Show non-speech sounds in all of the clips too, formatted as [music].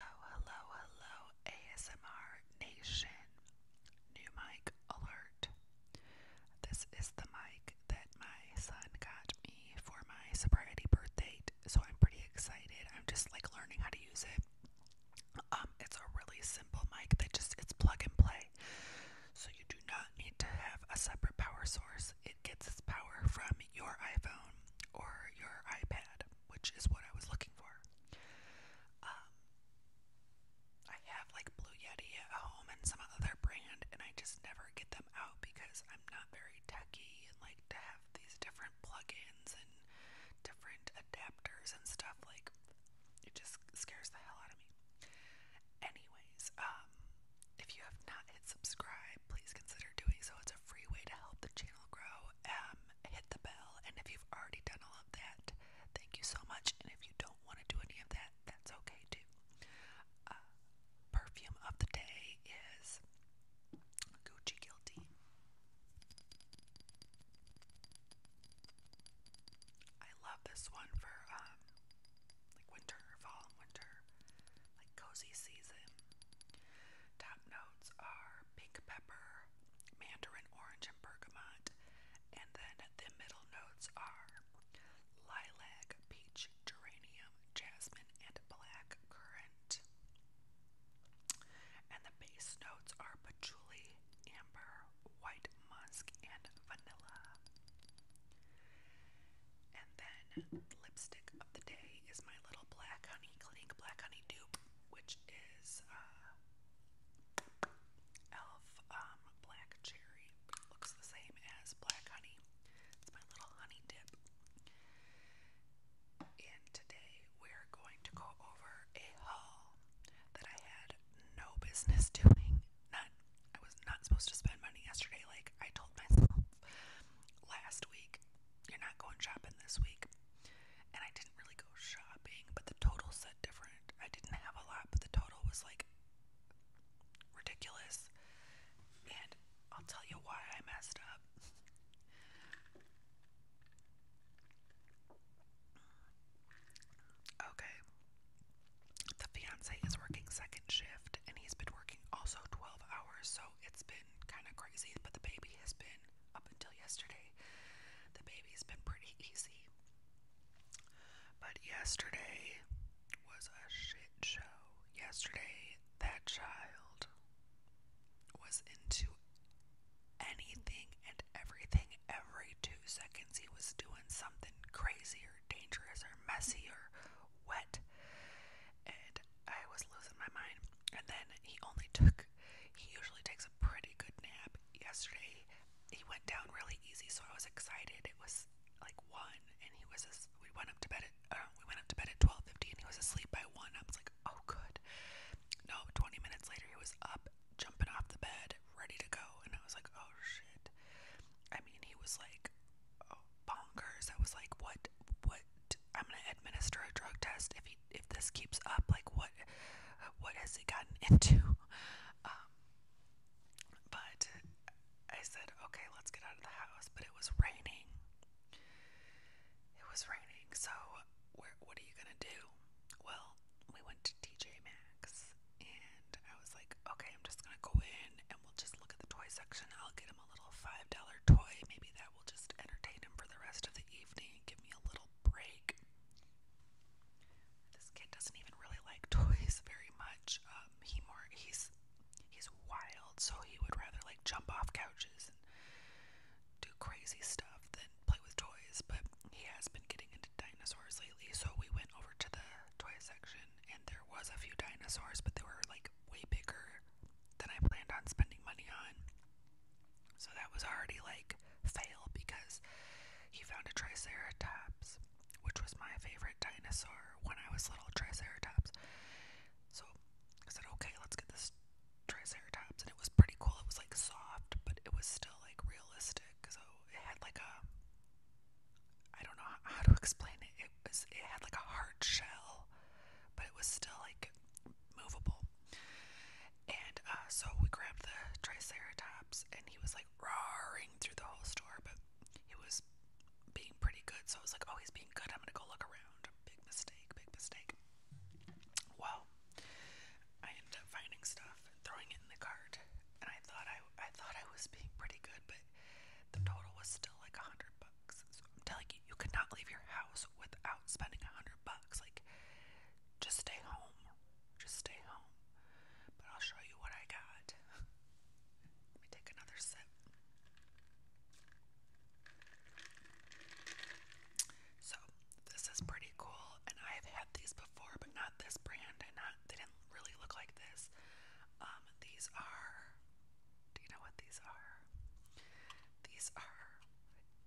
Oh, hello, hello, ASMR Nation. New mic alert. This is the mic that my son got me for my sobriety birth so I'm pretty excited. I'm just like learning how to use it. Um, it's a really simple mic that just it's plug and play. So you do not need to have a separate power source. It gets its power from your iPhone or your iPad which is what I was looking for. Um, I have like Blue Yeti at home and some other brand, and I just never get them out because I'm not very techy and like to have these different plugins and different adapters and stuff. Like, it just scares the hell out of me. Anyways, um, if you have not hit subscribe, please consider doing so. It's a free way to help the channel grow um, hit the bell. And if you've already done all of that, thank you so much. And if you don't want to do any of that, that's okay too. Uh, perfume of the day is Gucci Guilty. I love this one for um, like winter, fall, winter, like cozy season. Top note are pink pepper, mandarin orange, and bergamot. And then the middle notes are lilac, peach, geranium, jasmine, and black currant. And the base notes are patchouli, amber, white musk, and vanilla then lipstick of the day is my little Black Honey Clinique Black Honey dupe, which is uh, Elf um, Black Cherry. looks the same as Black Honey. It's my little honey dip. And today we're going to go over a haul that I had no business doing. None. I was not supposed to spend money yesterday. Like I told myself, last week. You're not going shopping this week. And I didn't really go shopping, but the total said different. I didn't have a lot, but the total was like ridiculous. And I'll tell you why I messed up. Okay. The fiance is working second shift and he's been working also 12 hours, so it's been been kind of crazy, but the baby has been, up until yesterday, the baby's been pretty easy. But yesterday was a shit show. Yesterday, that child was into anything and everything. Every two seconds, he was doing something crazy or dangerous or messy or wet and I was losing my mind. And then he only took, he usually takes a pretty good nap. Yesterday, he went down really easy, so I was excited. It was like one, and he was. As, we went up to bed at uh, we went up to bed at twelve fifty, and he was asleep by one. I was like, oh good. No, twenty minutes later, he was up, jumping off the bed, ready to go, and I was like, oh shit. I mean, he was like oh, bonkers. I was like, what, what I'm gonna administer a drug test if he if this keeps up. Like what what has he gotten [laughs] into? Um, but I said, okay, let's get out of the house. But it was raining. It was raining. So what are you gonna do? Well, we went to TJ Maxx, and I was like, okay, I'm just gonna go in we'll just look at the toy section. I'll get him a little $5 toy. Maybe that will just entertain him for the rest of the evening. Give me a little break. This kid doesn't even really like [laughs] toys very much. Um, he more he's he's wild, so he would rather like jump off couches and do crazy stuff than play with toys. But he has been getting into dinosaurs lately, so we went over to the toy section and there was a few dinosaurs, but they were like way bigger than I planned on spending money on. So that was already like fail because he found a triceratops, which was my favorite dinosaur when I was little, triceratops. So I said, okay, let's get this triceratops, and it was pretty cool. It was like soft, but it was still like realistic. So it had like a I don't know how to explain it. It was it had like a hard shell, but it was still like movable. And uh, so we grabbed the Triceratops, and he was like roaring through the whole store, but he was being pretty good. So I was like, "Oh, he's being good. I'm gonna go look around." Big mistake. Big mistake. Well, I ended up finding stuff and throwing it in the cart, and I thought I I thought I was being pretty good, but the total was still like a hundred bucks. So I'm telling you, you could not leave your house without spending a hundred bucks. Like, just stay home. Just stay home. But I'll show you what I got. [laughs] Let me take another sip. So this is pretty cool, and I've had these before, but not this brand, and not they didn't really look like this. Um, these are, do you know what these are? These are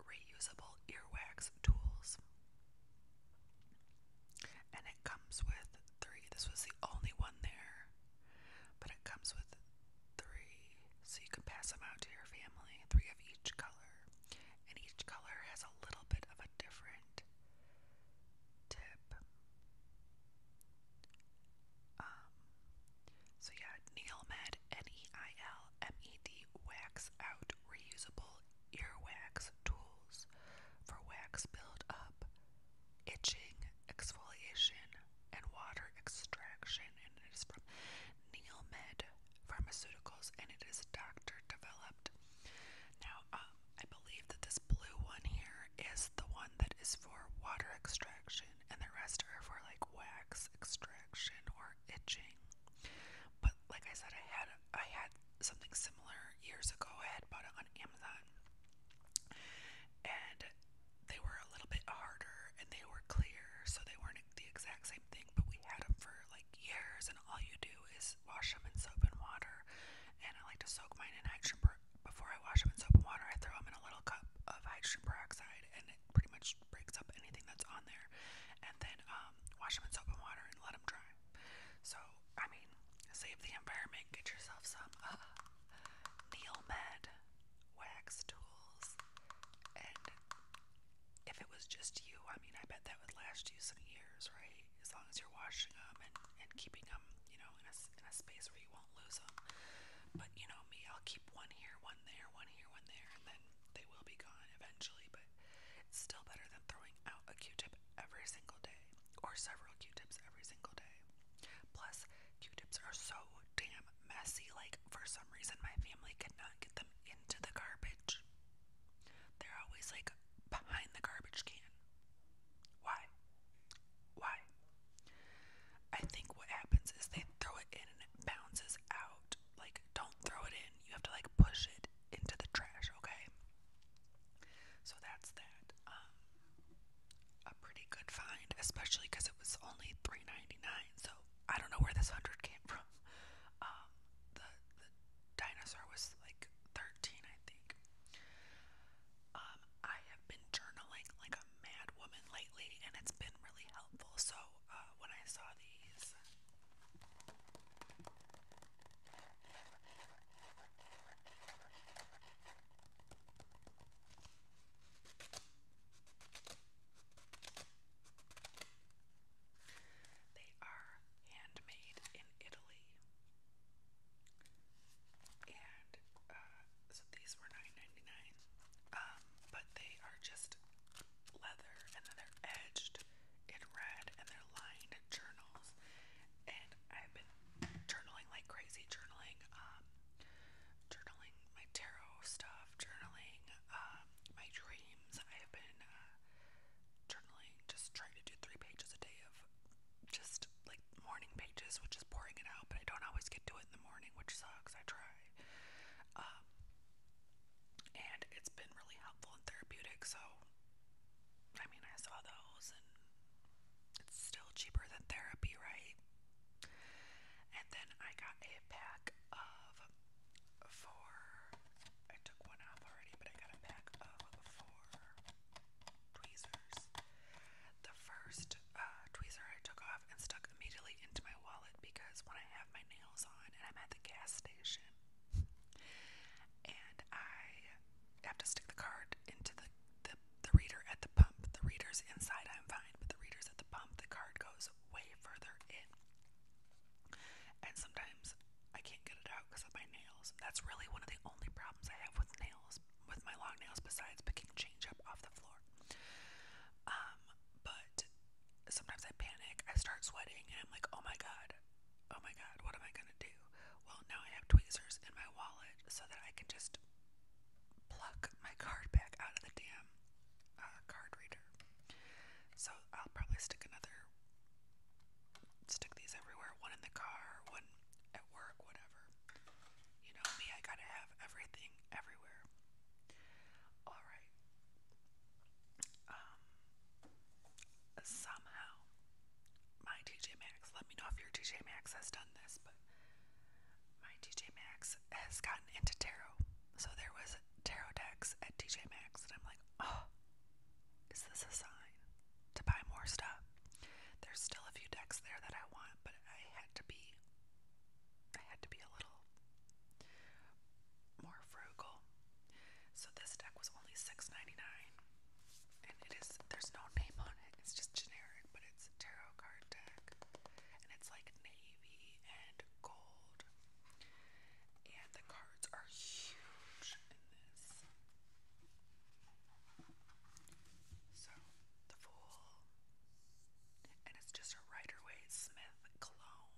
reusable earwax tools. And it comes with three. This was the only one there, but it comes with three. So you can pass them out to your family. Three of each color. And each color has a little bit of a different tip. Um, so yeah, Neil N-E-I-L M-E-D wax out reusable earwax tools for wax buildup, itching, exfoliation, and water extraction. And it is from Neil Pharmaceuticals, and it is doctor developed. Now, um, I believe that this blue one here is the one that is for water extraction, and the rest are for like wax extraction or itching. But like I said, I had I had something similar years ago. I had bought it on Amazon, and they were a little bit harder and they were clear, so they weren't the exact same thing. But we had them for like years, and all you do is wash them in soap and water. And I like to soak mine in hydrogen before I wash them in soap and water, I throw them in a little cup of hydrogen peroxide, and it pretty much breaks up anything that's on there. And then um, wash them in soap and water and let them dry. So, I mean, save the environment. Get yourself some uh, [laughs] wax tools. And if it was just you, I mean, I bet that would last you some years, right? as long as you're washing them and, and keeping them, you know, in a, space where you won't lose them. But you know me, I'll keep one here, one there, one here, one there, and then they will be gone eventually. But it's still better than throwing out a Q-tip every single day, or several Q-tips every single day. Plus, Q-tips are so damn messy. Like for some reason, my family could not get them into the garbage. They're always like behind the garbage can. Why? Why? I think what happens is they throw it in and it bounces out. Like, don't throw it in. You have to, like, push it into the trash, okay? So that's that. Um, a pretty good find, especially because it was only 3 So I don't know where this hundred came from. [laughs] Um, Dinosaur was like 13, I think. Um, I have been journaling like a mad woman lately, and it's been really helpful. So uh, when I saw these, they are handmade in Italy. And uh, so these were $9.99, um, but they are just leather and then they're edged in red and they're lined journals. And I've been journaling like crazy, journaling, um, journaling my tarot stuff, journaling um, my dreams. I have been uh, journaling, just trying to do three pages a day of just like morning pages, which is pouring it out, but I don't always get to it in the morning, which sucks. I try. Um, and it's been really helpful and therapeutic, so I mean, I saw those, and it's still cheaper than therapy, right? And then I got a pack of four I took one off already, but I got a pack of four tweezers. The first uh, tweezer I took off and stuck immediately into my wallet because when I have my nails on and I'm at the gas station and I have to stick the card into the, the reader at the pump. The reader's inside, I'm fine, but the reader's at the pump, the card goes way further in. And sometimes I can't get it out because of my nails. That's really one of the only problems I have with nails, with my long nails, besides picking change up off the floor. Um, but sometimes I panic, I start sweating, and I'm like, oh my god, oh my god, what am I gonna do? Well, now I have tweezers in my wallet so that I can just pluck my card back out of the damn uh, card reader. So I'll probably stick another stick these everywhere. One in the car, one at work, whatever. You know me, I gotta have everything everywhere. Alright. Um somehow my TJ Maxx, let me know if your TJ Maxx has done this, but my TJ Maxx has gotten into tarot. So there was tarot decks at TJ Maxx and I'm like, oh is this a sign? To buy more stuff. There's still a few decks there that I want, but I had to be I had to be a little more frugal. So this deck was only $6.99. And it is there's no name on it. It's just generic, but it's a tarot card deck. And it's like navy and gold and the cards are huge in this. So, the Fool, and it's just a Rider Waite Smith clone,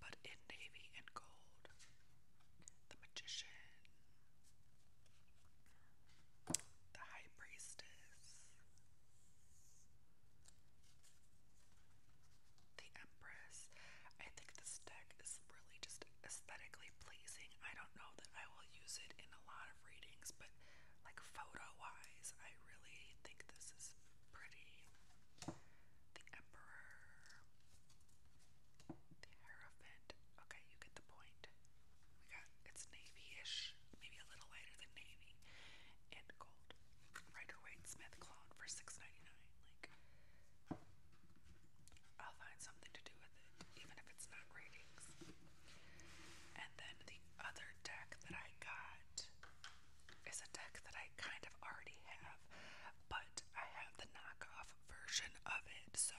but in navy and gold. The Magician, the High Priestess, the Empress. I think this deck is really just aesthetically pleasing. I don't know that I will use it in a lot of readings, but like photo wise, I really think this is pretty. The Emperor, the Hierophant. Okay, you get the point. We got it's navy ish, maybe a little lighter than navy, and gold. Rider Waite Smith clone for $6.99. Like, I'll find something to do with it, even if it's not ratings. And then the other deck that I got is a deck that I kind of already have, but I have the knockoff version of it, so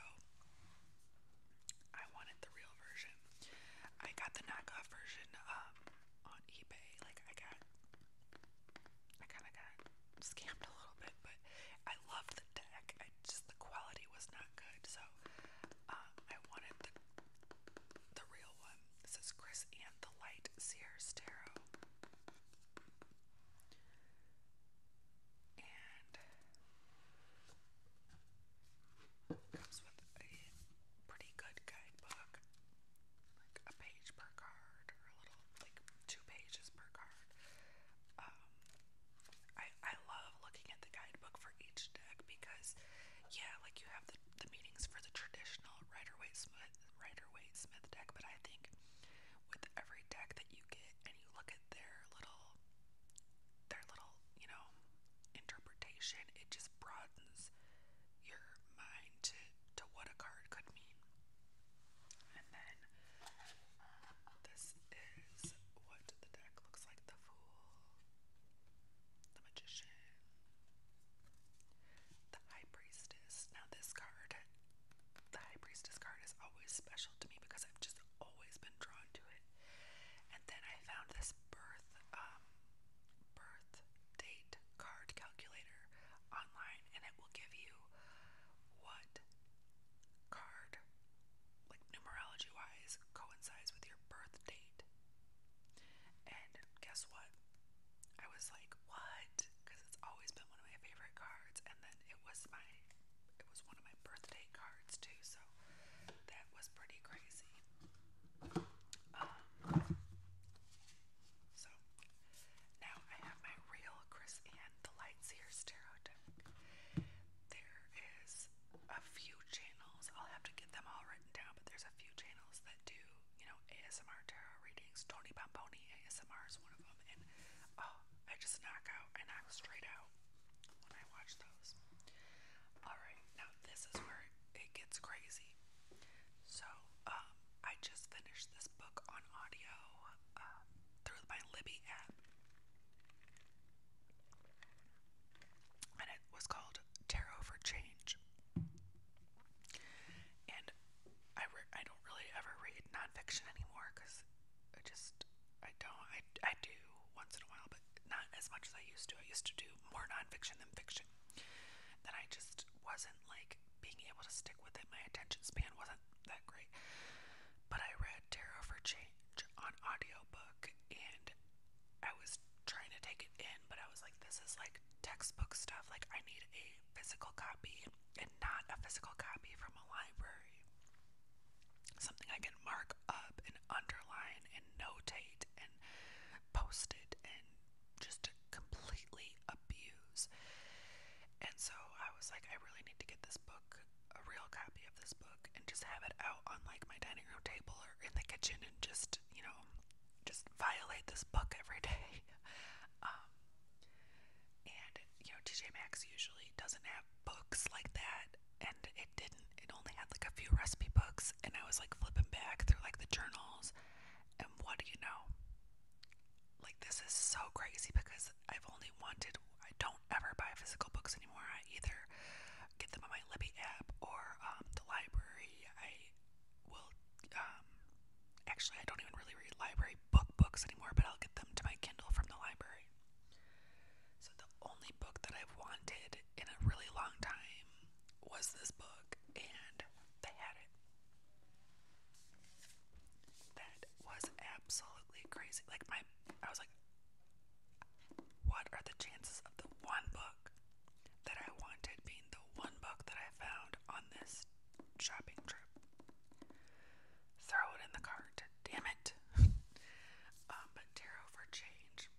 I wanted the real version. I got the knockoff version um, on eBay. Like, I got I kind of got scammed a little bit, but I loved the deck. just the quality was not good, so um, I wanted the real one. This is Chris and the Light Sears Tarot, and comes with a pretty good guidebook like a page per card or a little like two pages per card. Um, I I love looking at the guidebook for each deck because yeah, like you have the, the meanings for the traditional Rider Waite Smith Rider Waite Smith deck, but I think with every deck that you get and you look at their little their little, you know, interpretation, it just broadens your mind to, to what a card could mean. And then this is what the deck looks like the Fool, the Magician, the High Priestess. Now, this card, the High Priestess card, is always special to me because I've just always been drawn to it. And then I found this birth, um, birth date card calculator online and it will give you what card, like numerology wise, coincides with your birth date. And guess what? I was like, what? Because it's always been one of my favorite cards, and then it was my it was one of my birthday cards too, so that was pretty crazy. Um, so now I have my real Chris Ann the Lights Here stereo deck. There is a few channels. I'll have to get them all written down, but there's a few channels that do, you know, ASMR tarot readings. Tony Bomboni ASMR is one of them, and oh, I just knock out. I knock straight out when I watch those. All right, now this is where it gets crazy. So, um, I just finished this book on audio uh, through my Libby app, and it was called Tarot for Change. And I I don't really ever read nonfiction anymore because I just I don't I I do once in a while, but not as much as I used to. I used to do more nonfiction than fiction that I just wasn't like being able to stick with it. My attention span wasn't that great. But I read Tarot for Change on audiobook and I was trying to take it in, but I was like, this is like textbook stuff. Like, I need a physical copy and not a physical copy from a library. Something I can mark up and underline and notate and post it and just to completely abuse. And so I was like, I really need to get this book, a real copy of this book, and just have it out on like my dining room table or in the kitchen and just, you know, just violate this book every [laughs] day. um, and, you know, TJ Maxx usually doesn't have books like that, and it didn't it only had like a few recipe books, and I was like flipping back through like the journals, and what do you know? Like, this is so crazy because I've only wanted, I don't ever buy physical books anymore. I either get them on my Libby app or um, the library. I will, um, actually, I don't even really read library book books anymore, but I'll get them to my Kindle from the library. So, the only book that I've wanted in a really long time was this book, and they had it. That was absolutely crazy. Like my, I was like, what are the chances of the one book that I wanted being the one book that I found on this shopping trip? Throw it in the cart, damn it. [laughs] Um, but Tarot for Change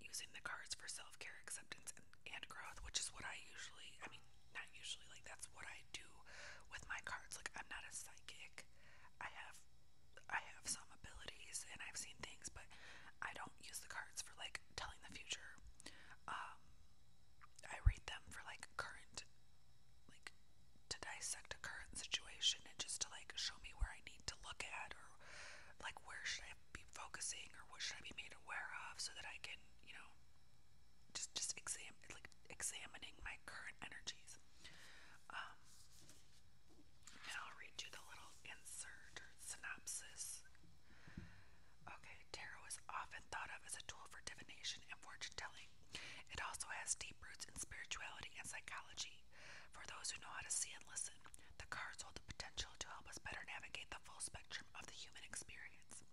using the cards for self care, acceptance, and, growth, which is what I usually, I mean, not usually, like that's what I do with my cards. Like, I'm not a psychic. I have. I have some abilities and I've seen things, but I don't use the cards for like telling the future. Um, I read them for like current, like to dissect a current situation and just to like show me where I need to look at or like where should I be focusing or what should I be made aware of so that I can, you know, just just exam like examining my current energies. Um, and I'll read you the little insert or synopsis. Okay, tarot is often thought of as a tool for divination and fortune telling. It also has deep roots in spirituality and psychology for those who know how to see and listen, the cards hold the potential to help us better navigate the full spectrum of the human experience.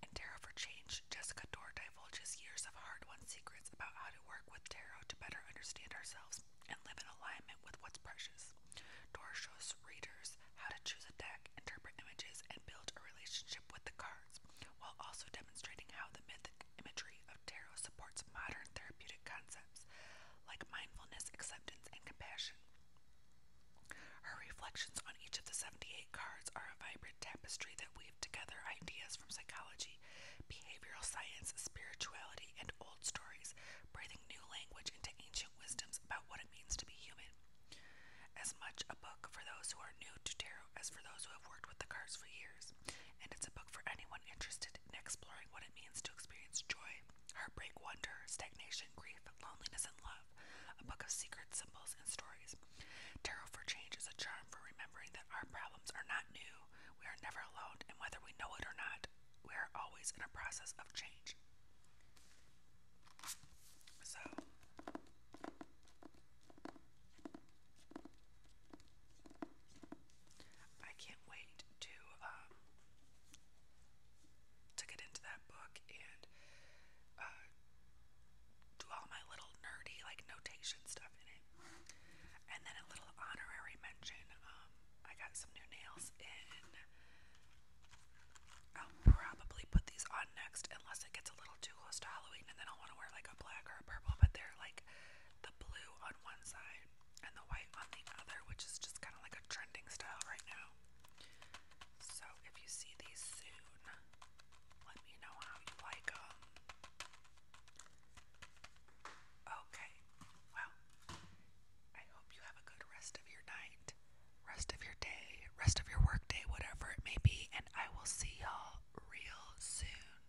In Tarot for Change, Jessica Dorr divulges years of hard won secrets about how to work with tarot to better understand ourselves and live in alignment with what's precious. Dorr shows readers how to choose a deck, interpret images, and build a relationship with the cards, while also demonstrating how the mythic imagery of tarot supports modern therapeutic concepts like mindfulness, acceptance, and compassion. Her reflections on each of the 78 cards are a vibrant tapestry that weave together ideas from psychology, behavioral science, spirituality, and old stories, breathing new language into ancient wisdoms about what it means to be human. As much a book for those who are new to tarot as for those who have worked with the cards for years and it's a book for anyone interested in exploring what it means to experience joy, heartbreak, wonder, stagnation, grief, loneliness, and love. A book of secret symbols and stories. Tarot for Change is a charm for remembering that our problems are not new, we are never alone, and whether we know it or not, we are always in a process of change. So, I can't wait to um, to get into that book and uh, do all my little nerdy like notation stuff in it. And then a little honorary mention. Um, I got some new nails in. I'll probably put these on next unless it gets a little too close to Halloween and then I'll want to wear like a black or a purple, but they're like blue on one side and the white on the other, which is just kind of like a trending style right now. So if you see these soon, let me know how you like them. Okay, well, I hope you have a good rest of your night, rest of your day, rest of your work whatever it may be, and I will see y'all real soon.